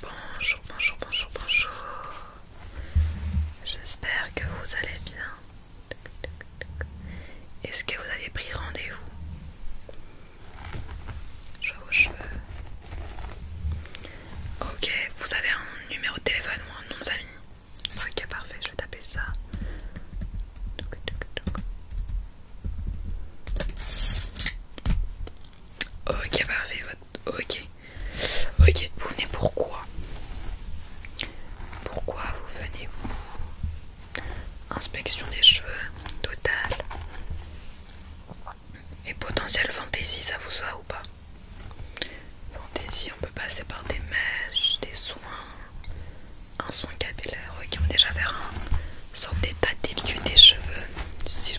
Bonjour, bonjour, bonjour, bonjour. J'espère que vous allez bien. Est-ce que vous avez pris rendez-vous Je vois vos cheveux. Ok, vous avez un numéro de téléphone ou un nom de famille Ok, parfait, je vais taper ça. Ok, parfait. Bah, ok. Ok, vous venez pourquoi Pourquoi vous venez vous Inspection des cheveux, total Et potentiel fantaisie, ça vous va ou pas Fantaisie, on peut passer par des mèches, des soins, un soin capillaire. Ok, on va déjà faire un sorte d'état des des cheveux, si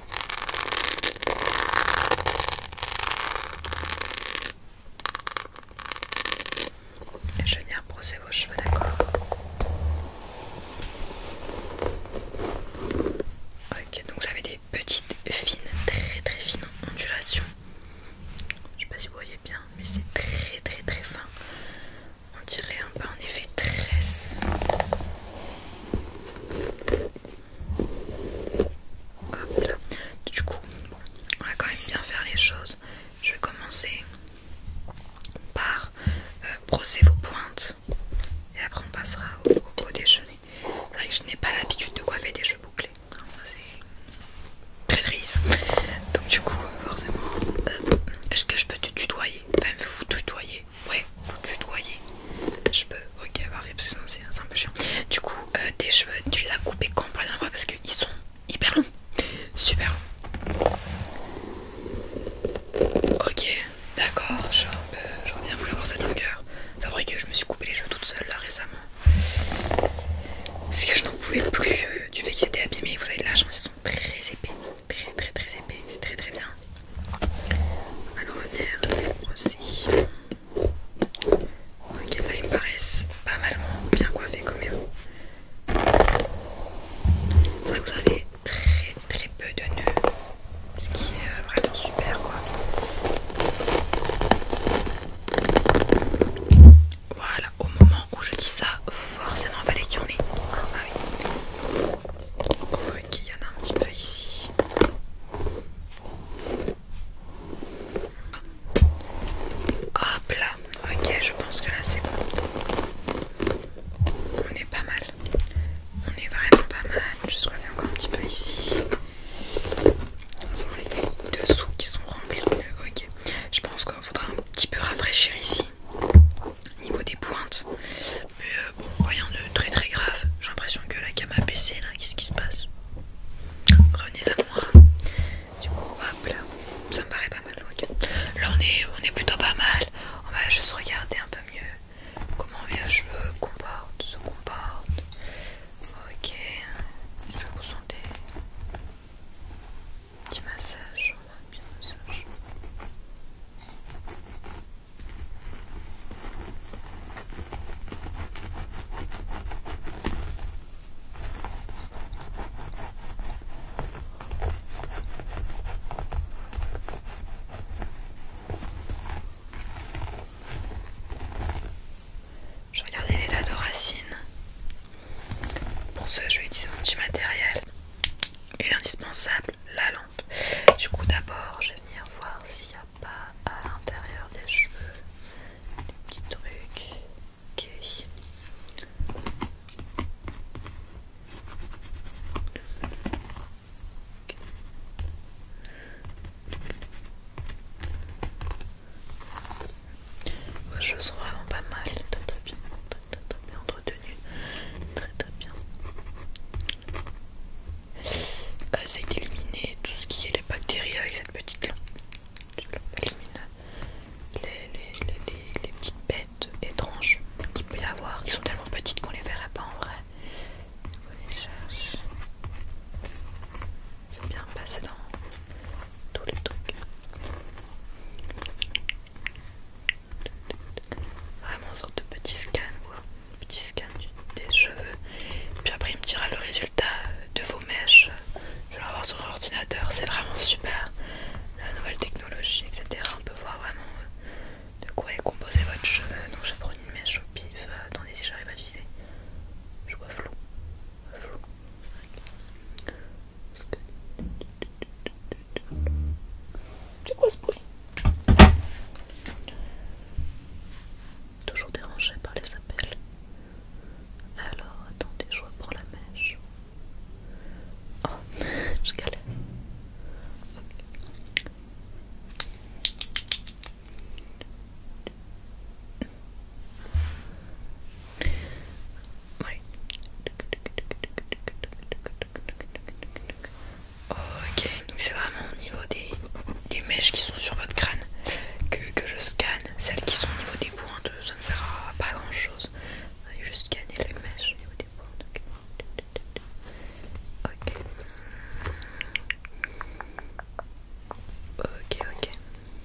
Je viens brosser vos cheveux, d'accord Ok, donc vous avez des petites fines, très très fines ondulations. Je sais pas si vous voyez bien, mais c'est très très très fin. On dirait un peu un effet tresse. Du coup, on va quand même bien faire les choses. Je vais commencer par euh, brosser vos pointes et après on passera au, déjeuner. C'est vrai que je n'ai pas l'habitude de coiffer des cheveux bouclés. C'est très triste. Donc du coup, forcément, euh, est-ce que je peux te tutoyer Enfin, vous tutoyer Ouais, vous tutoyez. Je peux, ok, arrête, bah parce que c'est un peu chiant. Du coup, euh, tes cheveux, tu les as coupés quand pour la dernière fois parce qu'ils sont hyper longs. Super longs. Ok, d'accord, j'aurais euh, bien voulu avoir cette longueur. C'est vrai que je me suis coupé les cheveux toute seule là récemment. Parce que je n'en pouvais plus euh, du fait qu'ils étaient abîmés. Vous avez de la chance, ils sont très épais. Très très très épais, c'est très très bien. Alors, on va aussi. Ok, là bah, ils me paraissent pas mal bien coiffés comme vous. C'est vous avez très très peu de nœuds, ce qui est euh, vraiment super quoi. Voilà, au moment où je dis ça, forcément il fallait qu'il y en ait. Ah ok, il y en a un petit peu ici. Hop là, ok, je pense que là c'est bon. On est pas mal. On est vraiment pas mal. Je se encore un petit peu ici. sent les dessous qui sont remplis. Ok, je pense qu'on faudra un petit peu rafraîchir ici. Niveau des pointes, mais euh, bon, rien de très très grave. J'ai l'impression que la cam a baissé là. Qu'est-ce qui se passe Revenez à moi. Du coup, hop là. Ça me paraît pas mal. ok Là, on est, on est plutôt pas mal. On va juste regarder un peu mieux comment les cheveux comportent, se comportent. Ok. Est-ce que vous sentez Petit massage, on va bien massage. Je les l'état de racines. Pour ce, je vais utiliser mon petit matériel et l'indispensable, la lampe. Du coup, d'abord, je vais venir voir s'il y a pas à l'intérieur des cheveux, des petits trucs. Ok. Vos cheveux sont vraiment pas mal, très très bien, très, bien entretenus, très très bien essaye euh, d'éliminer tout ce qui est les bactéries avec cette petite là Élimine les, les, les, petites bêtes étranges qu'il peut y avoir, qui sont tellement petites qu'on les verrait pas en vrai. vais les bien passer dans tous les trucs. Vraiment sorte de petit scan quoi petit scan des cheveux. Puis après, il me dira le résultat euh, de vos mèches. Je vais l'avoir sur l'ordinateur. C'est vraiment super. La nouvelle technologie, etc. On peut voir vraiment euh, de quoi est composé votre cheveu. Donc, je prendre une mèche au pif. Euh, attendez, si j'arrive à viser, je vois flou. flou. C'est quoi ce bruit Toujours dérangé par les appels. Alors, attendez, je pour la mèche. Oh, je galère. Oui Ok, donc c'est vraiment au niveau des, des mèches qui sont sur votre crâne que, je scanne. Celles qui sont au niveau des pointes, ça ne sert à pas grand chose. Je scanne les mèches au niveau des pointes. Ok. Ok, ok.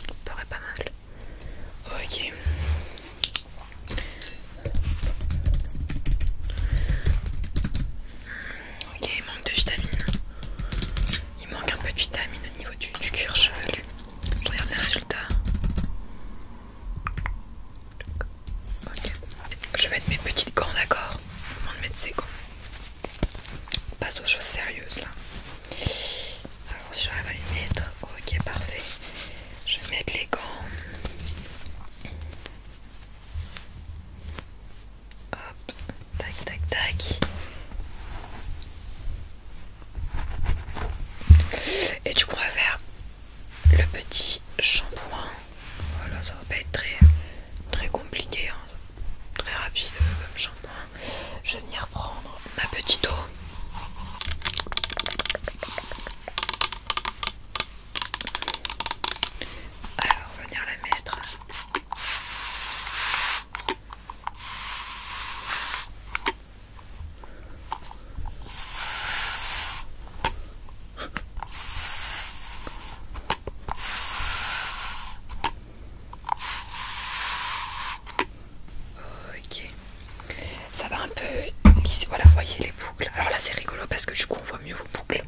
Ça paraît pas mal. Ok. Ok, il manque de vitamines. Il manque un peu de vitamines au niveau du, cuir chevelu. Je regarde les résultats. Ok. Je vais mettre mes petites gants, d'accord On va mettre ces gants On passe aux choses sérieuses là. Alors si j'arrive à les mettre, ok parfait. Je vais mettre les gants. Hop, tac, tac, tac. Et du coup, on va faire le petit shampoing. Voilà, ça va pas être très, très compliqué, hein. très rapide euh, comme shampoing. Je vais venir prendre ma petite eau. Alors, on va venir la mettre. Ok, ça va un peu Voilà, Voilà, voyez les boucles. Alors là, c'est rigolo parce que du coup, on voit mieux vos boucles.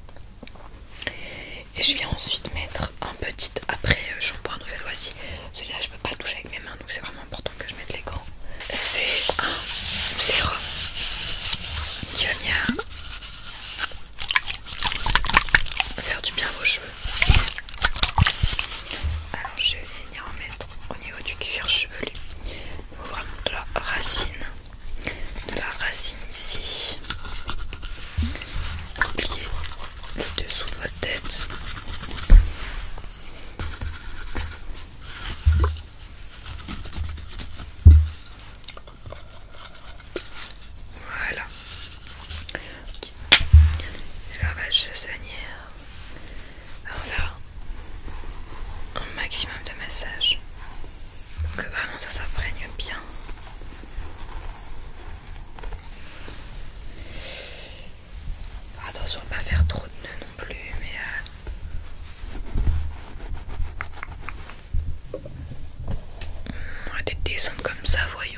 Et je viens ensuite mettre un petit après euh, shampoing. Donc cette fois-ci, celui-là je peux pas le toucher avec mes mains, donc c'est vraiment important que je mette les gants. C'est un sérum qui va faire du bien à vos cheveux. Alors je vais venir en mettre au niveau du cuir chevelu, vraiment de la racine de la racine ici. Oubliez le dessous de votre tête. Voilà. La Et là, on va se On va faire un maximum de massage. Donc vraiment ça s'imprègne bien. Attention à pas faire trop de nœuds non plus, mais... Euh, on va descendre comme ça, voyons.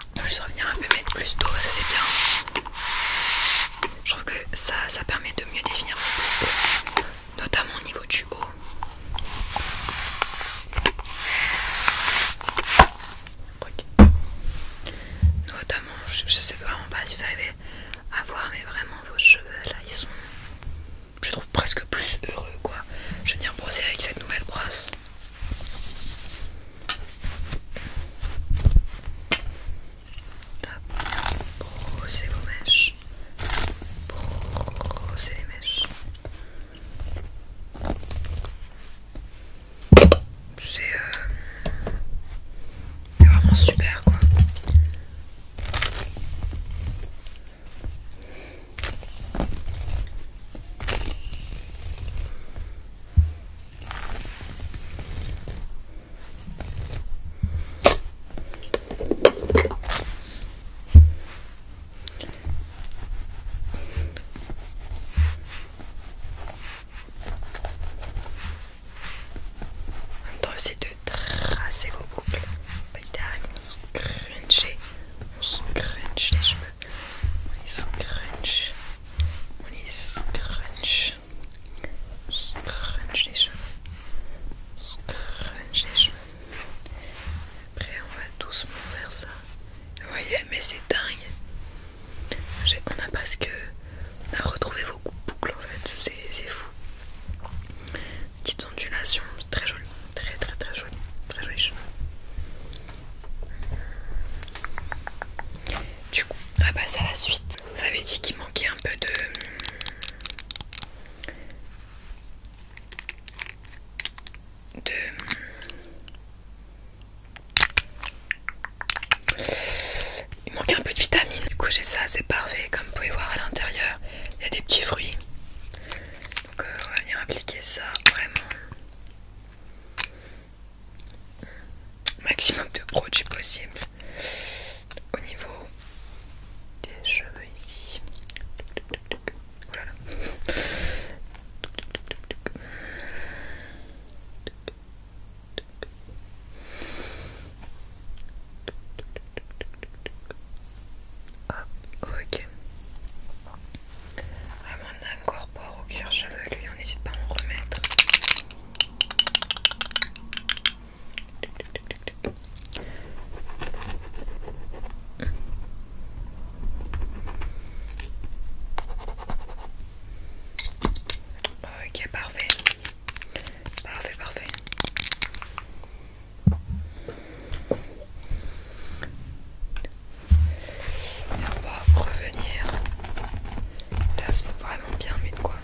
Je vais revenir un peu mettre plus d'eau, ça c'est bien. Je trouve que ça, ça permet de mieux définir mon coiffure, notamment au niveau du haut. ok, Notamment, je, ne sais vraiment pas si vous arrivez à voir, mais vraiment vos cheveux là, ils sont, je trouve presque plus heureux quoi. Je viens brosser avec cette nouvelle brosse c'est vos mèches. c'est les mèches. C'est euh, vraiment super quoi. On même temps, de tracer vos couples. Bah, Vas-y, on se crunchait. On se crunch les cheveux. On se scrunch. On est scrunch. Scrunch les cheveux. Scrunch les cheveux. Après, on va doucement faire ça. Vous voyez, mais c'est dingue. On a que... On a retrouvé vos boucles en fait. C'est fou. Petite ondulation. Très jolie. Très, très, très jolie. Très joli cheveux. Du coup, on passer à la suite. Vous avez dit qu'il manquait un peu de... De... Il manquait un peu de vitamines. Coucher ça, c'est parfait. Comme vous pouvez voir à l'intérieur, il y a des petits fruits. Donc euh, on va venir appliquer ça vraiment maximum de produits possible au niveau des cheveux ici Voilà. ok on incorpore au cuir lui on n'hésite pas à en remettre. Ok, parfait. Parfait, parfait. Et on va revenir. Là, se faut vraiment bien mettre quoi.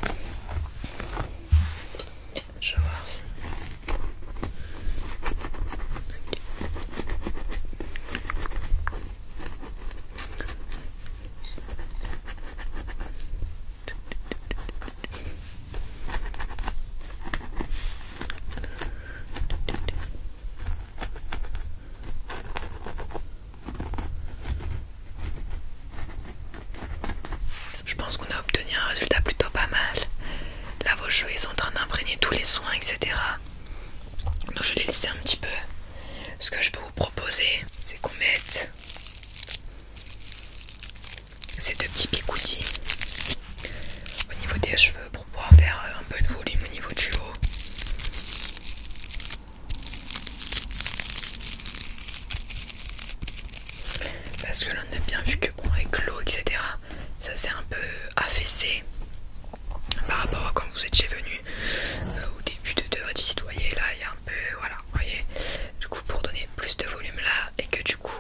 Je vais voir si. Okay. Voilà. Je pense qu'on a obtenu un résultat plutôt pas mal. Là, vos cheveux ils sont en train d'imprégner tous les soins, etc. Donc, je vais les laisser un petit peu. Ce que je peux vous proposer, c'est qu'on mette ces deux petits picoutis au niveau des cheveux pour pouvoir faire un peu de volume au niveau du haut. Parce que l'on a bien vu que bon avec l'eau etc ça s'est un peu affaissé par rapport à quand vous êtes chez venu euh, au début de, de votre visite, vous là il y a un peu voilà vous voyez du coup pour donner plus de volume là et que du coup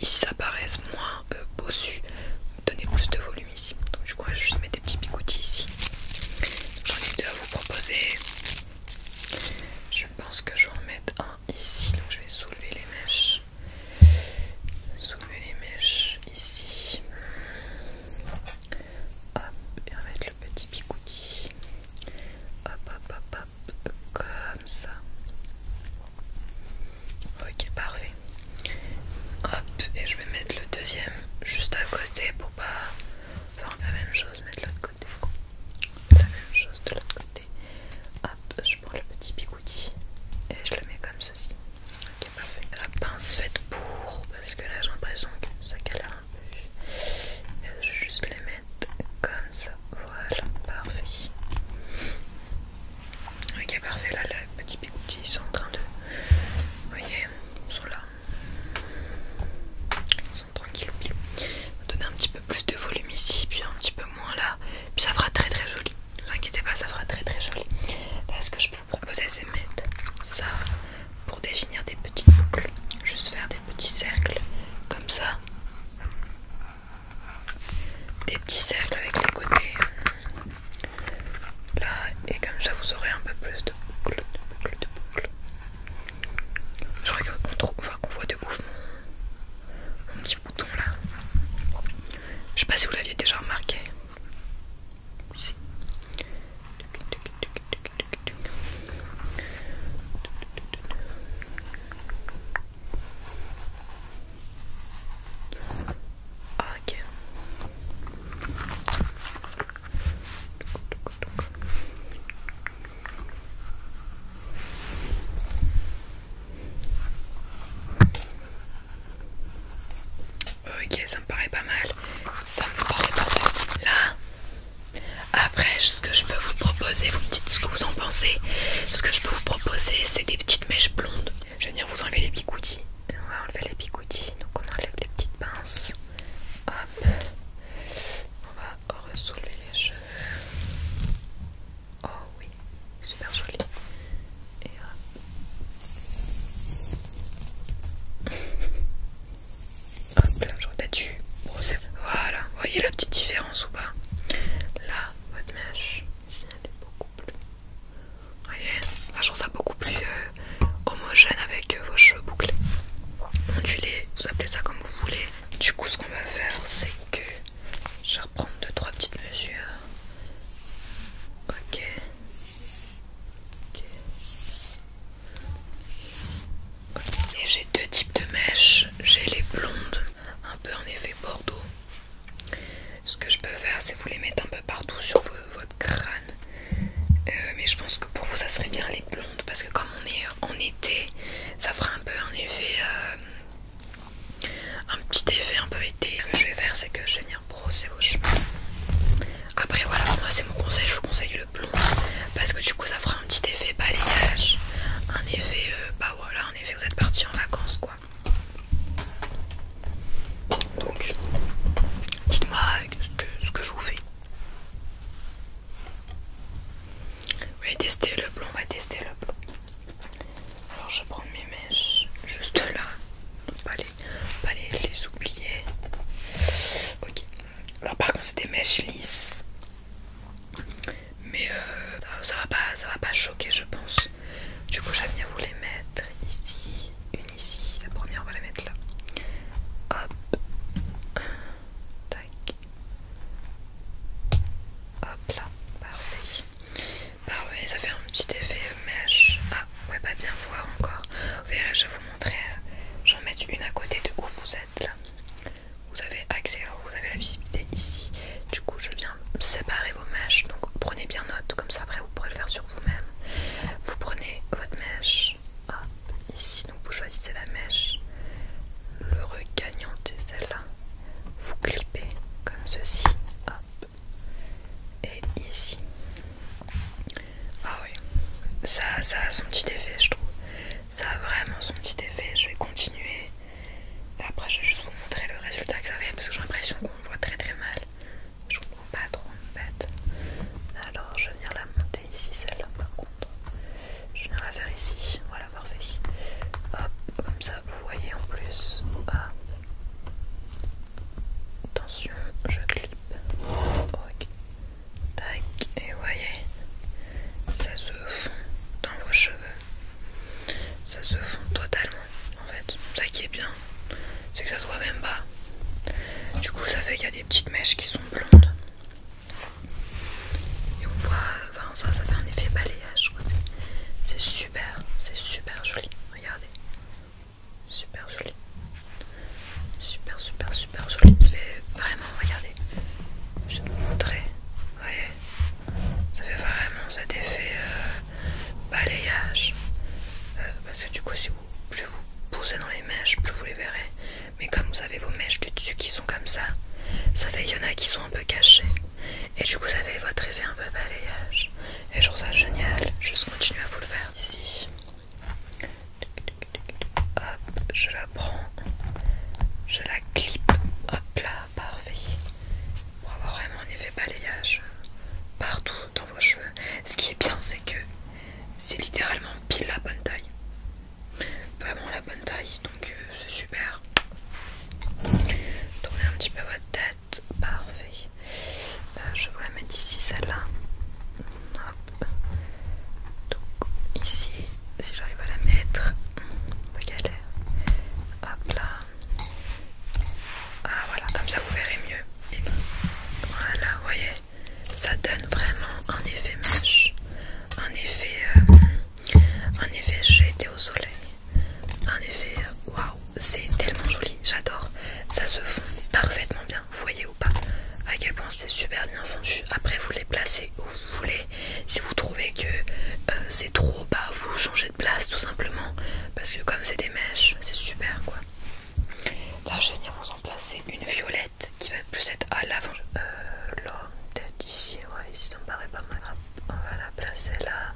ils s'apparaissent moins euh, bossu donner plus de volume ici. Donc je crois juste mettre des petits picoutis ici. J'en ai deux à vous proposer. Je pense que je vais en mettre un ici. Donc je vais soulever les mèches. Soulever les mèches ici. Hop, et on mettre le petit picouti. Hop, hop, hop, hop, comme ça. Ok, parfait. Hop, et je vais mettre le deuxième juste à côté pour pas faire la même chose mais de l'autre côté. La même chose de l'autre côté. Hop, je prends le petit bigouti et je le mets comme ceci. Ok, parfait. La pince faite pour parce que là j'ai l'impression que ça galère un peu. je vais juste les mettre comme ça. Voilà, parfait. Ok, parfait. Là, les petits ils sont en train de. voyez, ils sont là. On tranquille donner un petit peu plus de volume ici, puis un petit peu moins là. Puis ça fera très très joli. Ne vous inquiétez pas, ça fera très très joli. Là, ce que je peux vous proposer, c'est mettre ça pour définir des petites boucles. Juste faire des petits cercles comme ça. Des petits cercles avec les côtés Là, et comme ça, vous aurez un peu plus de boucles, de boucles, de Je crois qu'on voit de ouf mon, petit bouton là. Je sais pas si vous l'aviez déjà remarqué. Ok. Ok, ça me paraît pas mal. Ça me paraît pas mal. Là, après, ce que je peux vous proposer, vous me dites ce que vous en pensez. Ce que je peux vous proposer, c'est des petites mèches blondes. Je vais venir vous enlever les bigoudis et on va enlever les bigoutis, donc on enlève les petites pinces. Hop, on va ressoulever les cheveux. Oh oui, super joli. Et hop, hop là, j'aurais dû Voilà, vous voyez la petite différence ou pas Là, votre mèche, ici, elle est beaucoup plus vous voyez je trouve ça beaucoup plus euh, homogène avec euh, vos cheveux bouclés. Ondulés, vous appelez ça comme vous voulez. Du coup, ce qu'on va faire, c'est que je vais reprendre 2-3 petites mesures. Ok. Et j'ai deux types de mèches. J'ai les blondes, un peu en effet bordeaux. Ce que je peux faire, c'est vous les mettre un peu partout sur votre crâne. Euh, mais je pense que pour vous, ça serait bien les blondes parce que comme on est en été, ça fera un peu un effet, euh, un petit effet un peu été. Ce que je vais faire, c'est que je vais venir brosser vos cheveux. Après, voilà, moi c'est mon conseil, je vous conseille le blond parce que du coup, ça fera un petit effet balayage, un effet, euh, bah voilà, un effet. Vous êtes parti en vacances, quoi. Donc, dites-moi ce que, je vous fais. Vous allez tester le blond On va tester le blond. Alors, je prends mes mèches juste là. On pas les, pas les, oublier. Ok. Alors, par contre, c'est des mèches lisses. Mais euh, ça, ça va pas, ça va pas choquer, je pense. Du coup, j'aime bien vous les mettre ici une ici, la première on va la mettre là. Hop, tac, hop là, parfait. Parfait, ah ça fait un petit effet mèche. Ah, ouais, pas bien voir encore. Vous je vais vous montrer. J'en mets une à côté de où vous êtes là. Vous avez accès, vous avez la visibilité ici. Du coup, je viens séparer vos mèches. Donc prenez bien note, comme ça après vous pourrez le faire sur vous-même. Vous prenez votre mèche, hop, ici, donc vous choisissez la mèche, le c'est celle-là, vous clippez comme ceci, hop, et ici. Ah oui, ça, ça a son petit effet, je trouve. Ça a vraiment son petit effet. Je vais continuer. Et après, je vais juste vous montrer le résultat que ça fait parce que j'ai l'impression qu'on voit très très mal. Je pas trop bête. Alors je viens la monter ici, celle-là par contre. Je viens la faire ici, voilà parfait. Hop, comme ça vous voyez en plus. Ah. Attention, je clip. Ok. Tac, et voyez, ça se fond dans vos cheveux. Ça se fond totalement en fait. Ça qui est bien, c'est que ça se voit même pas. Du coup, ça fait qu'il y a des petites mèches qui sont blondes. Et on voit, ça, ça fait un effet balayage. C'est super, c'est super joli. Regardez, super joli, super, super, super joli. Ça fait vraiment, regardez, je vais vous montrer. Vous voyez, ça fait vraiment cet effet. Euh, euh, balayage euh, parce que du coup si vous plus vous poussez dans les mèches plus vous les verrez mais comme vous avez vos mèches du dessus qui sont comme ça ça fait il y en a qui sont un peu cachées et du coup vous avez votre effet un peu balayage et je trouve ça génial je continue à vous le faire ici hop je la prends je la clip hop là parfait pour avoir vraiment un effet balayage partout vos cheveux. Ce qui est bien, c'est que c'est littéralement pile la bonne taille. Vraiment la bonne taille, donc euh, c'est super. Tournez un petit peu votre tête, parfait. Euh, je vous la mettre ici, celle-là. Donc ici, si j'arrive à la mettre, pas galère. Hop là. Ah voilà, comme ça vous verrez mieux. voilà, vous voyez, ça donne vraiment un effet mèche un effet, euh, un effet j'ai été au soleil, un effet waouh, c'est tellement joli, j'adore. Ça se fond parfaitement bien, vous voyez ou pas à quel point c'est super bien fondu. Après, vous les placez où vous voulez. Si vous trouvez que euh, c'est trop bas, vous changez de place tout simplement. Parce que comme c'est des mèches, c'est super quoi. Là, je vais venir vous en placer une violette qui va plus être à l'avant. là, peut-être ici, ouais, ici ça me paraît pas mal. On va la placer là.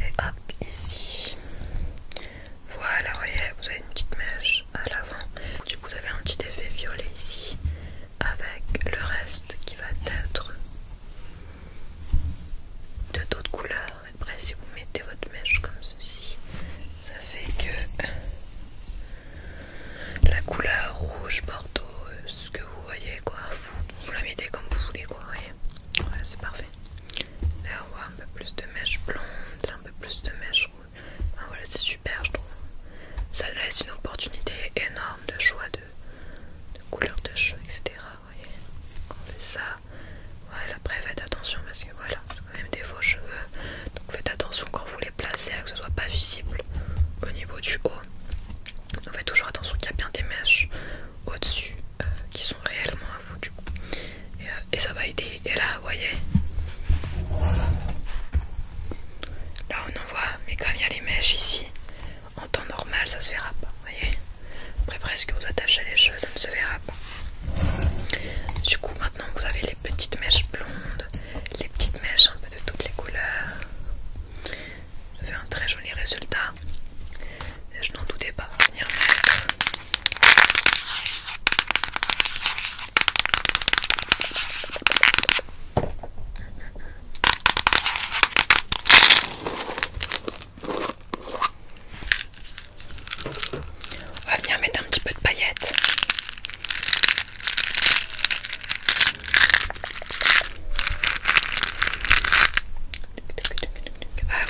Et hop, ici. Voilà, voyez, vous avez une petite mèche à l'avant. Du coup, vous avez un petit effet violet ici. Avec le reste qui va être de d'autres couleurs. Après, si vous mettez votre mèche comme ceci, ça fait que la couleur rouge, bordeaux, ce que vous voyez, quoi, vous, la mettez comme vous voulez, quoi. c'est parfait. Là, on un peu plus de mèche blonde, un peu plus de mèche rouge. voilà, c'est super, je trouve. Ça laisse une opportunité énorme de choix de, de couleur de cheveux, etc on fait ça voilà après faites attention parce que voilà quand même des faux cheveux donc faites attention quand vous les placez à que ce soit pas visible au niveau du haut donc faites toujours attention qu'il y a bien des mèches au dessus euh, qui sont réellement à vous du coup euh, et, ça va aider et là vous voyez là on en voit mais comme il y a les mèches ici en temps normal ça se verra pas vous voyez après presque vous attachez les cheveux ça ne se verra pas du coup maintenant vous avez les petites mèches blondes les petites mèches un peu de toutes les couleurs ça fait un très joli résultat et je n'en doutais pas venir on va venir mettre un petit peu de paillettes. Ah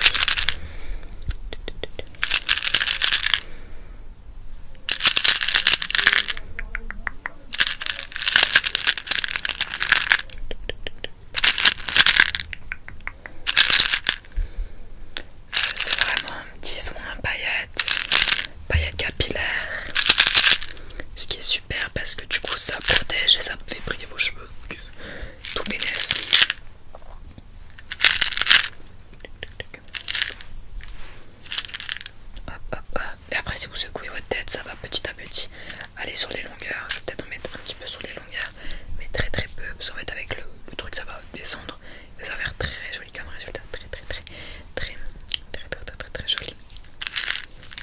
c'est vraiment un petit soin paillette, paillette capillaire. Ce qui est super parce que du coup ça protège et ça fait briller vos cheveux. Tout bénef. Et après si vous secouez votre tête, ça va petit à petit aller sur les longueurs. Je vais peut-être en mettre un petit peu sur les mais très très peu. Parce qu'en fait, avec le, truc, ça va descendre. et ça va faire très joli comme résultat. Très très très très très très très très, joli.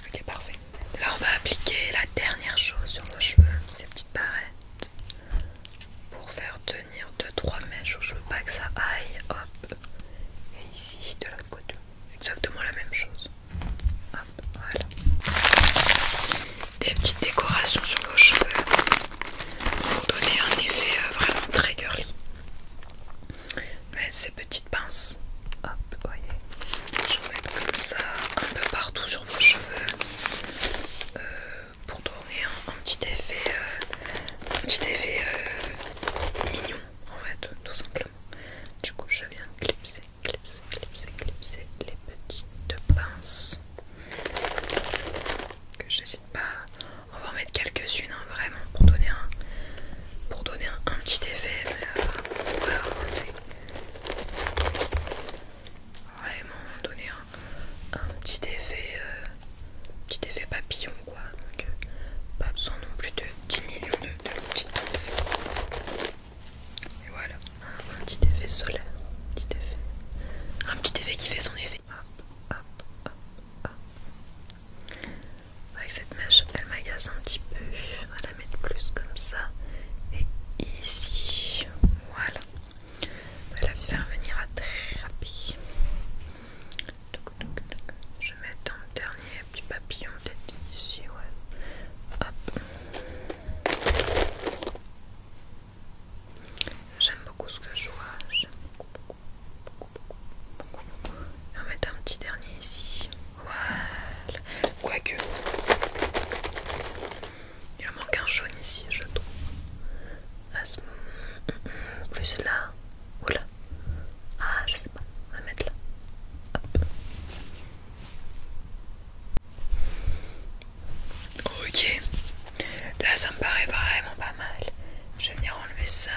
Ok, parfait. Là, on va appliquer la dernière chose sur vos cheveux, ces petites barrettes, pour faire tenir 2-3 mèches je veux pas que ça aille. Hop. Et ici, de l'autre côté, exactement la même chose voilà. Des petites décorations sur vos cheveux pour donner un effet euh, vraiment très girly. Mais ces petites pinces, hop, voyez, je vais mettre comme ça un peu partout sur vos cheveux euh, pour donner un, petit effet, euh, mignon en fait, tout simplement. Du coup, je viens clipser clipser, clipser, clipser les petites pinces que j'hésite pas. à en mettre quelques-unes hein, vraiment pour donner un pour donner un, petit effet. Euh, vraiment donner un, petit effet, euh, petit effet papillon quoi. Donc, euh, pas besoin non plus de 10 millions de petites pinces. Et voilà, un, petit effet solaire, un petit effet, un petit effet qui fait son effet. Avec cette mèche, elle m'agace un petit peu. On va la mettre plus comme ça. Et ici, voilà. On va la faire venir à très rapide. Je vais mettre un dernier petit papillon peut-être ici, ouais. Hop. J'aime beaucoup ce que je vois. J'aime beaucoup, beaucoup, beaucoup, beaucoup, Et on va mettre un petit dernier ici. Voilà. Quoique. Il manque un jaune ici, je trouve. À ce... Plus là ou là. Ah, je sais pas. On va mettre là. Ok, là ça me paraît vraiment pas mal. Je vais venir enlever ça.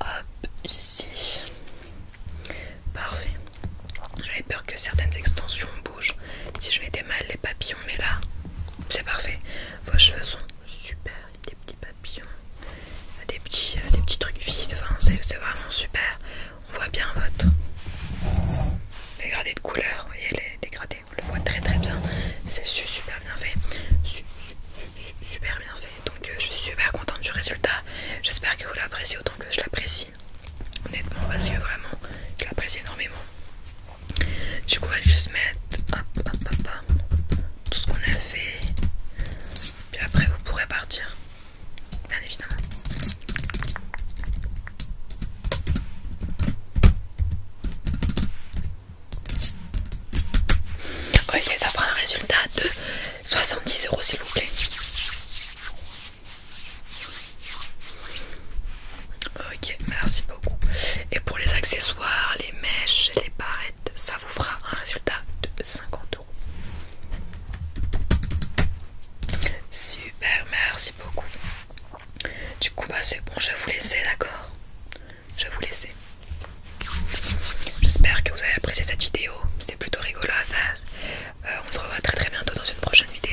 Hop, ici. Parfait. J'avais peur que certaines extensions bougent. Si je mettais mal les papillons, mais là, c'est parfait. Vos cheveux sont super. Des petits papillons, des petits, euh, des petits trucs vides. Enfin, c'est vraiment super on voit bien votre dégradé de couleur, vous voyez les dégradés, on le voit très très bien, c'est super bien fait, super bien fait, donc euh, je suis super contente du résultat, j'espère que vous l'appréciez autant que je l'apprécie, honnêtement parce que vraiment je l'apprécie énormément. Du coup on va juste mettre hop, hop, hop, tout ce qu'on a fait, puis après vous pourrez partir bien évidemment. Ok, ça fera un résultat de 70 euros s'il vous plaît. Ok, merci beaucoup. Et pour les accessoires, les mèches, les barrettes, ça vous fera un résultat de 50 euros. Super, merci beaucoup. Du coup, bah c'est bon, je vous laisser, d'accord Je vous laisser. J'espère que vous avez apprécié cette vidéo. C'était plutôt rigolo à faire. Euh, on se revoit très très bientôt dans une prochaine vidéo.